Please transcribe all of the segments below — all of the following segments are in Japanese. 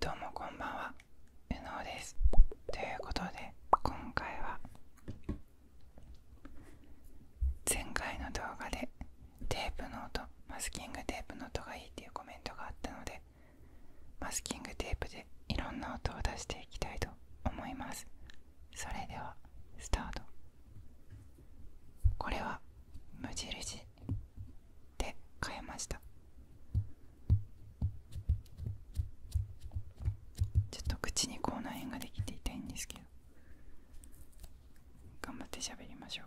どうもこんばんは、うのうです。ということで、今回は前回の動画でテープの音、マスキングテープの音がいいっていうコメントがあったので、マスキングテープでいろんな音を出していきたいと思います。それではスタート。これは無印で変えましたちょっと口に口内炎ができて痛いんですけど頑張って喋りましょう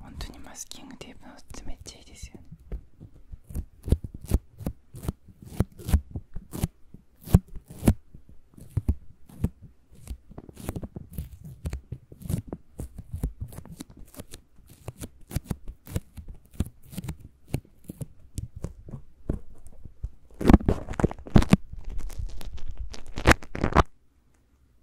本当にマスキングテープの靴めっちゃいいですよね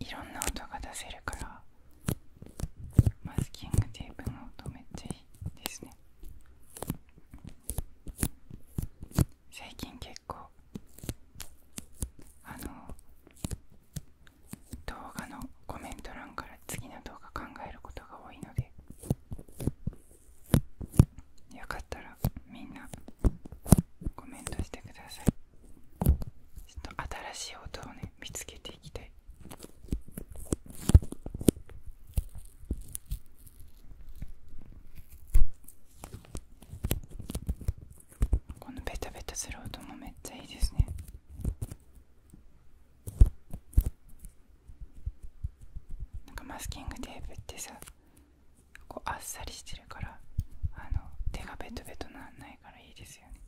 いろんな音が出せるからマスキングテープも止めっちゃいいですね最近結構あの動画のコメント欄から次の動画考えることが多いのでよかったらみんなコメントしてくださいちょっと新しい音をね見つけていきたいこのベタベタする音もめっちゃいいですねなんかマスキングテープってさこうあっさりしてるからあの手がベトベトなんないからいいですよね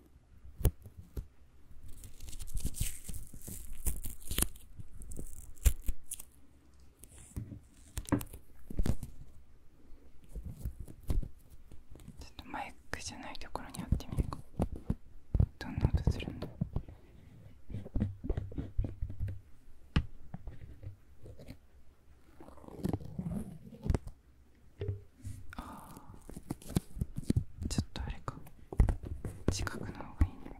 ちょっとマイクじゃないところにやってみるかどんな音するんだちょっとあれか近くの方がいいね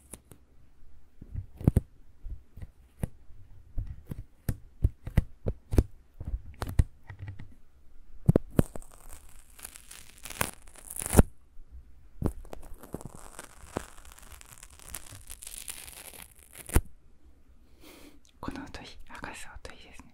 この音いかす音いいですね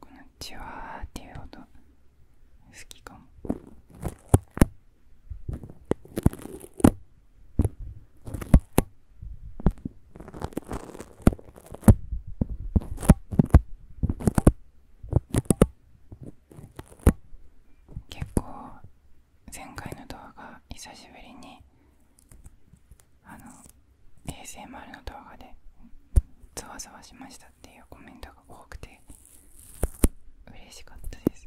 このチワーっていう音好きかも結構前回の動画久しぶりにあの ASMR の動画でざわざわしましたっていうコメントが多くて嬉しかったです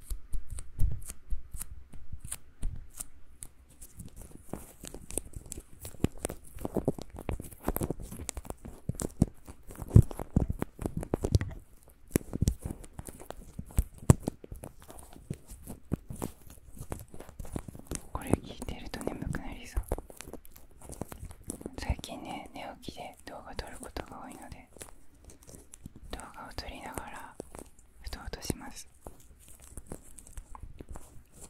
これ聞いてると眠くなりそう最近ね寝起きで動画撮ることが多いので動画を撮りながらふとうとします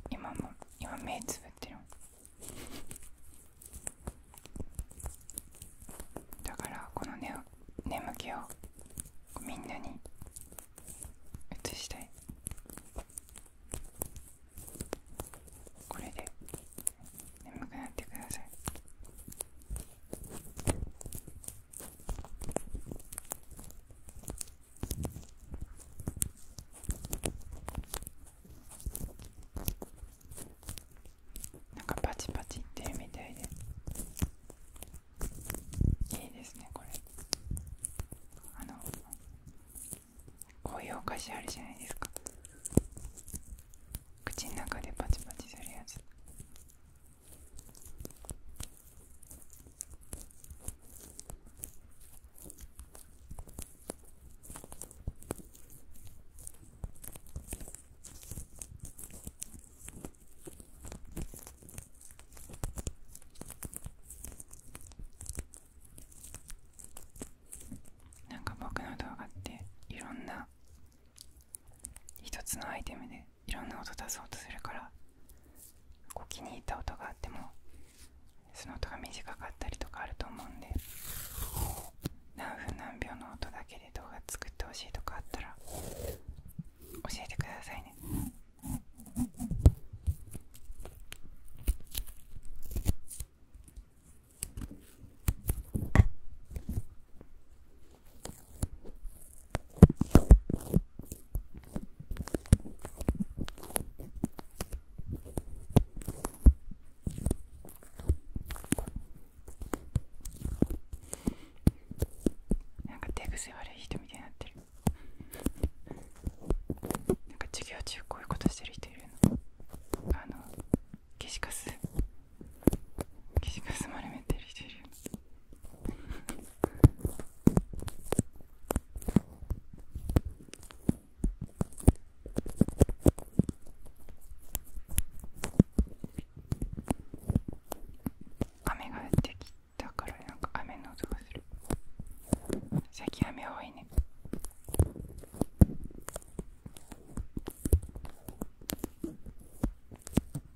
今も今目つぶってるだからこのね眠気をみんなに移したいこれで眠くなってくださいなんかパチパチいってるみたいでいいですねこれあのこういうお菓子あるじゃないですか口の中でパチパチするやつなんか僕の動画っていろんな一つのアイテムでいろんな音出そうとするからこう気に入った音があってもその音が短かったりとかあると思うんで何分何秒の音だけで動画作ってほしいとかあったら教えてくださいねなんか手癖悪い人みたいになってるなんか授業中こういうことしてる人いるのあの消しカス生が薄まるめてるし雨が降ってきたからなんか雨の音がする最近雨多いね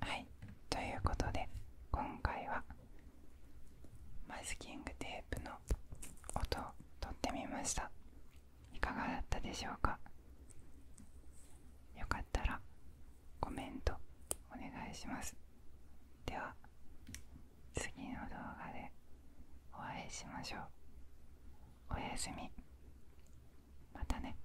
はいということで今回はマスキングテープの音をとってみましたいかがだったでしょうかよかったらコメントお願いしますでは次の動画でお会いしましょうおやすみまたね